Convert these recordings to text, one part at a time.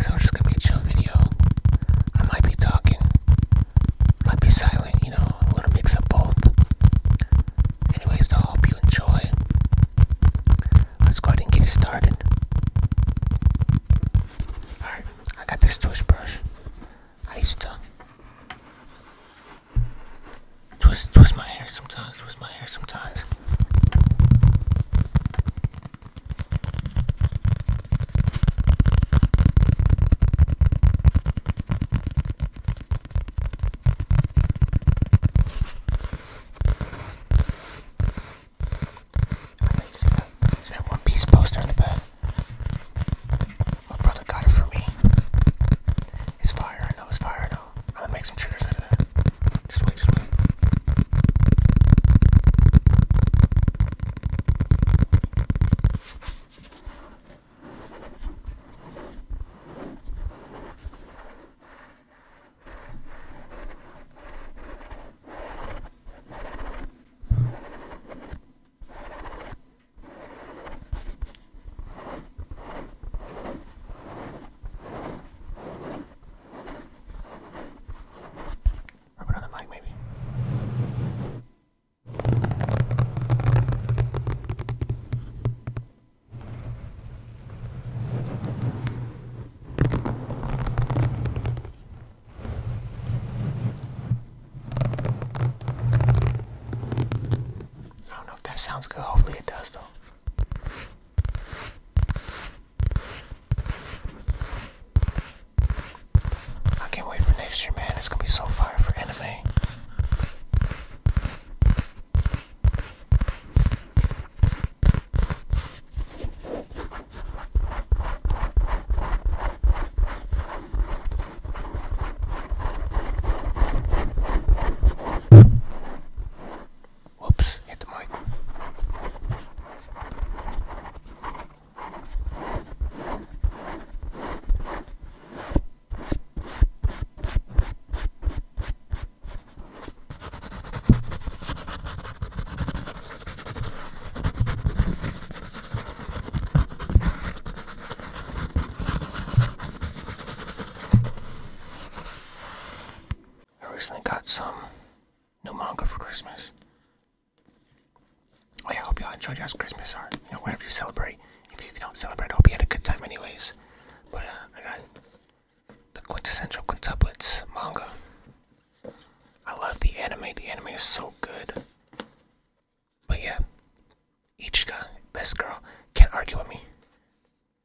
So it's just gonna be a chill video. I might be talking, might be silent, you know, a little mix of both. Anyways, I hope you enjoy. Let's go ahead and get started. Alright, I got this twist brush. I used to twist twist my hair sometimes, twist my hair sometimes. Is that One Piece poster on the back? My brother got it for me. It's fire, I know, it's fire, I know. I'm gonna make some triggers out of that. Just wait, just wait. Just Rub it on the mic, maybe. I don't know if that sounds good. Hopefully, it does, though. I can't wait for next year, man. It's gonna be so fire for anime. Whoops, hit the mic. I recently got some no manga for Christmas. I hope y'all enjoyed y'all's Christmas or wherever you celebrate. If you don't celebrate, I hope you had a good time, anyways. But uh, I got the quintessential quintuplets manga. I love the anime. The anime is so good. But yeah, Ichiga, best girl, can't argue with me.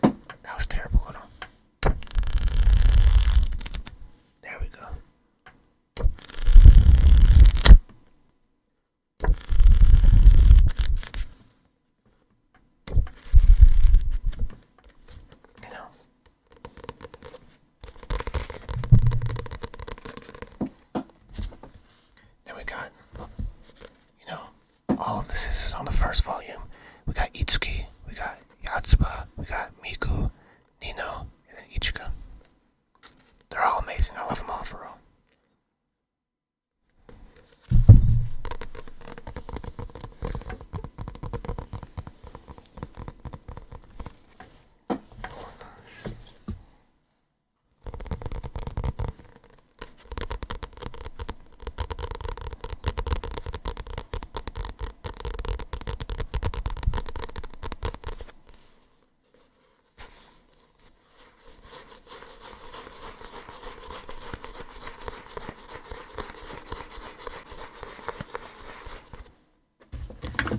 That was terrible. Hold on. There we go. You know. Then we got, you know, all of the sisters on the first volume. We got Itzuki, we got Yatsuba, we got Miku, Nino, and then Ichika. They're all amazing. I love them all for real.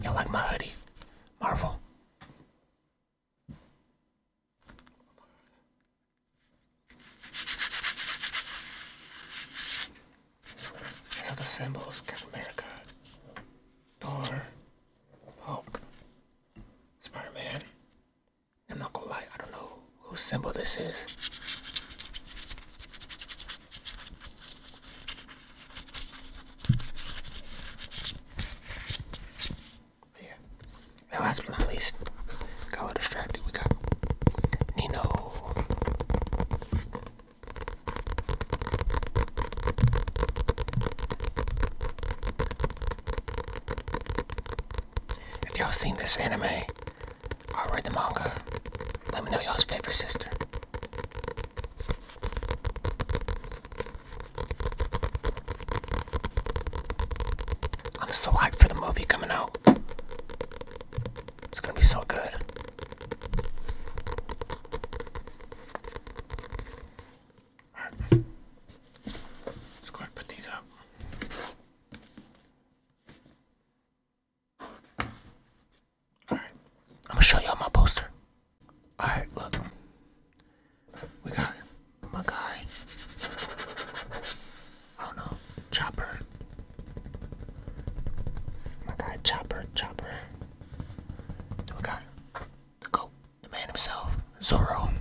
You like my hoodie, Marvel? These are the symbols, Captain America, Thor, Hulk, Spider-Man. I'm not gonna lie, I don't know whose symbol this is. Yeah last but not least, got a little distracted. We got Nino. If y'all seen this anime or read the manga, let me know y'all's favorite sister. I'm so hyped for the movie coming out. It's gonna be so good. Let's go and put these up. Alright. I'm gonna show you my poster. Alright, look. We got my guy. I do Chopper. My guy Chopper, Chopper. My guy, the the man himself, Zorro.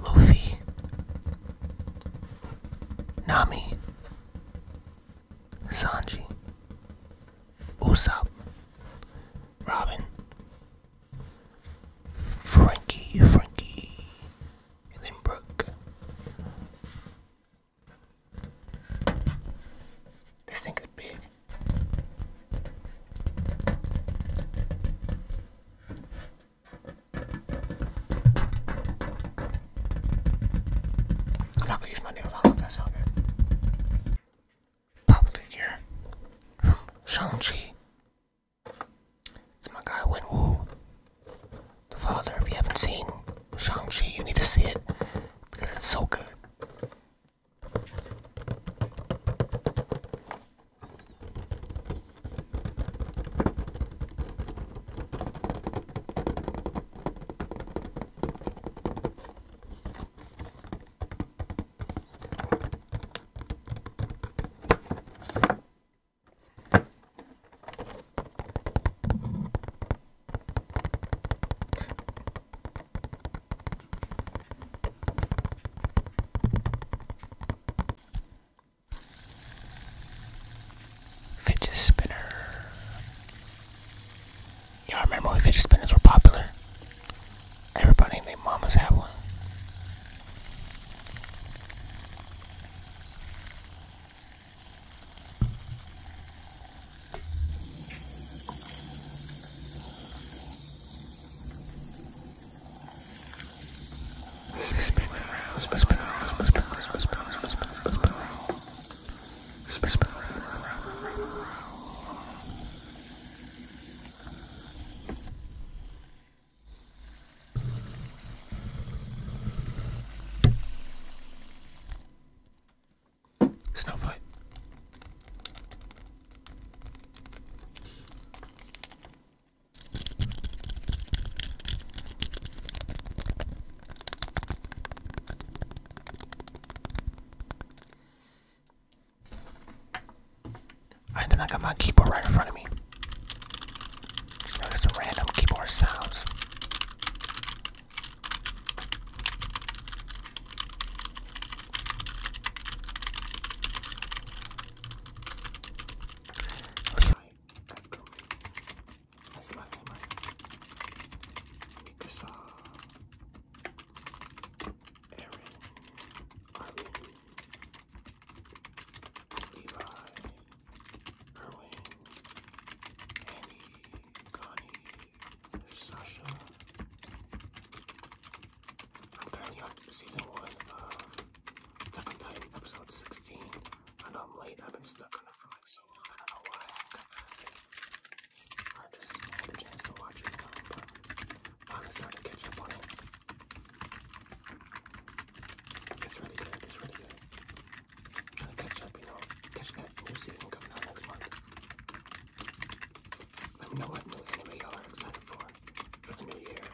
Luffy. Nami. Sanji. Usopp. Robin. Frankie, Frankie, and then Brooke. This thing is big. I'm not gonna use my nails. I don't know if that sounds from Shang-Chi it's my guy Wenwu, the father. If you haven't seen Shang-Chi, you need to see it because it's so good. Fidget spinner. Y'all remember when fidget spinners were popular? Everybody and their mamas have one. Snowflake. I then I got my keyboard right in front of me. Just notice random keyboard sounds. Levi, Irwin, Annie, Connie, Sasha. I'm currently on season one of Attack on Titan, episode 16. I know I'm late, I've been stuck on it for like so long, I don't know why I haven't got past just had a chance to watch it I'm starting to catch up on it. It's really good. It's really good. trying to catch up, you know, catch that new season coming out next month. Let me know what new anime y'all are excited for for the new year.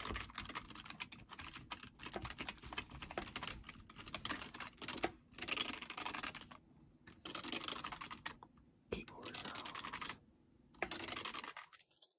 Keyboard sounds.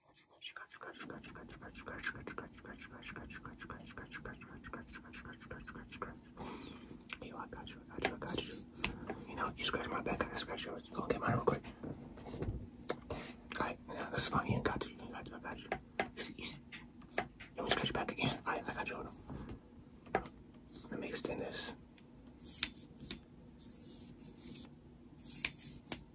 you, I got you, I got you, I got you. You know, you scratch my back, I can scratch yours. Go get mine real quick. Alright, yeah, that's fine. You got you, you got you, I got you. Easy, easy. You want me to scratch your back again? Alright, I got you. Hold on. Let me extend this.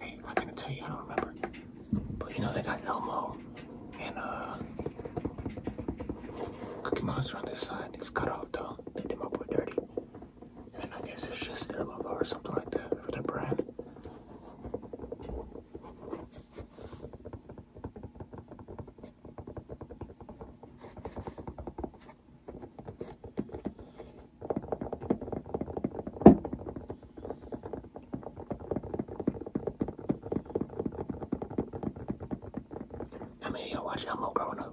I'm not gonna tell you, I don't remember. But you know, they got Elmo and uh, Cookie Monster on this side. It's cut off though. They did my boy dirty. And I guess it's just Elmo or something like that for their brand. I mean, yo, watch y'all more growing up.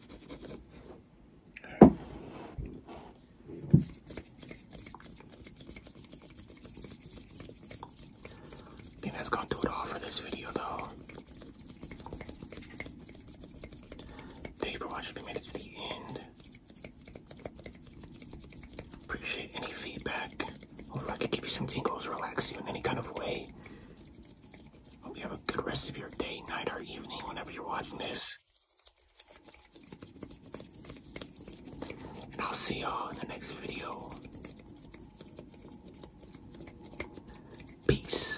I that's gonna do it all for this video though. Thank you for watching We made it to the end. Appreciate any feedback. Hopefully I can give you some tingles, relax you in any kind of way. Hope you have a good rest of your day, night, or evening whenever you're watching this. And I'll see y'all in the next video. Peace.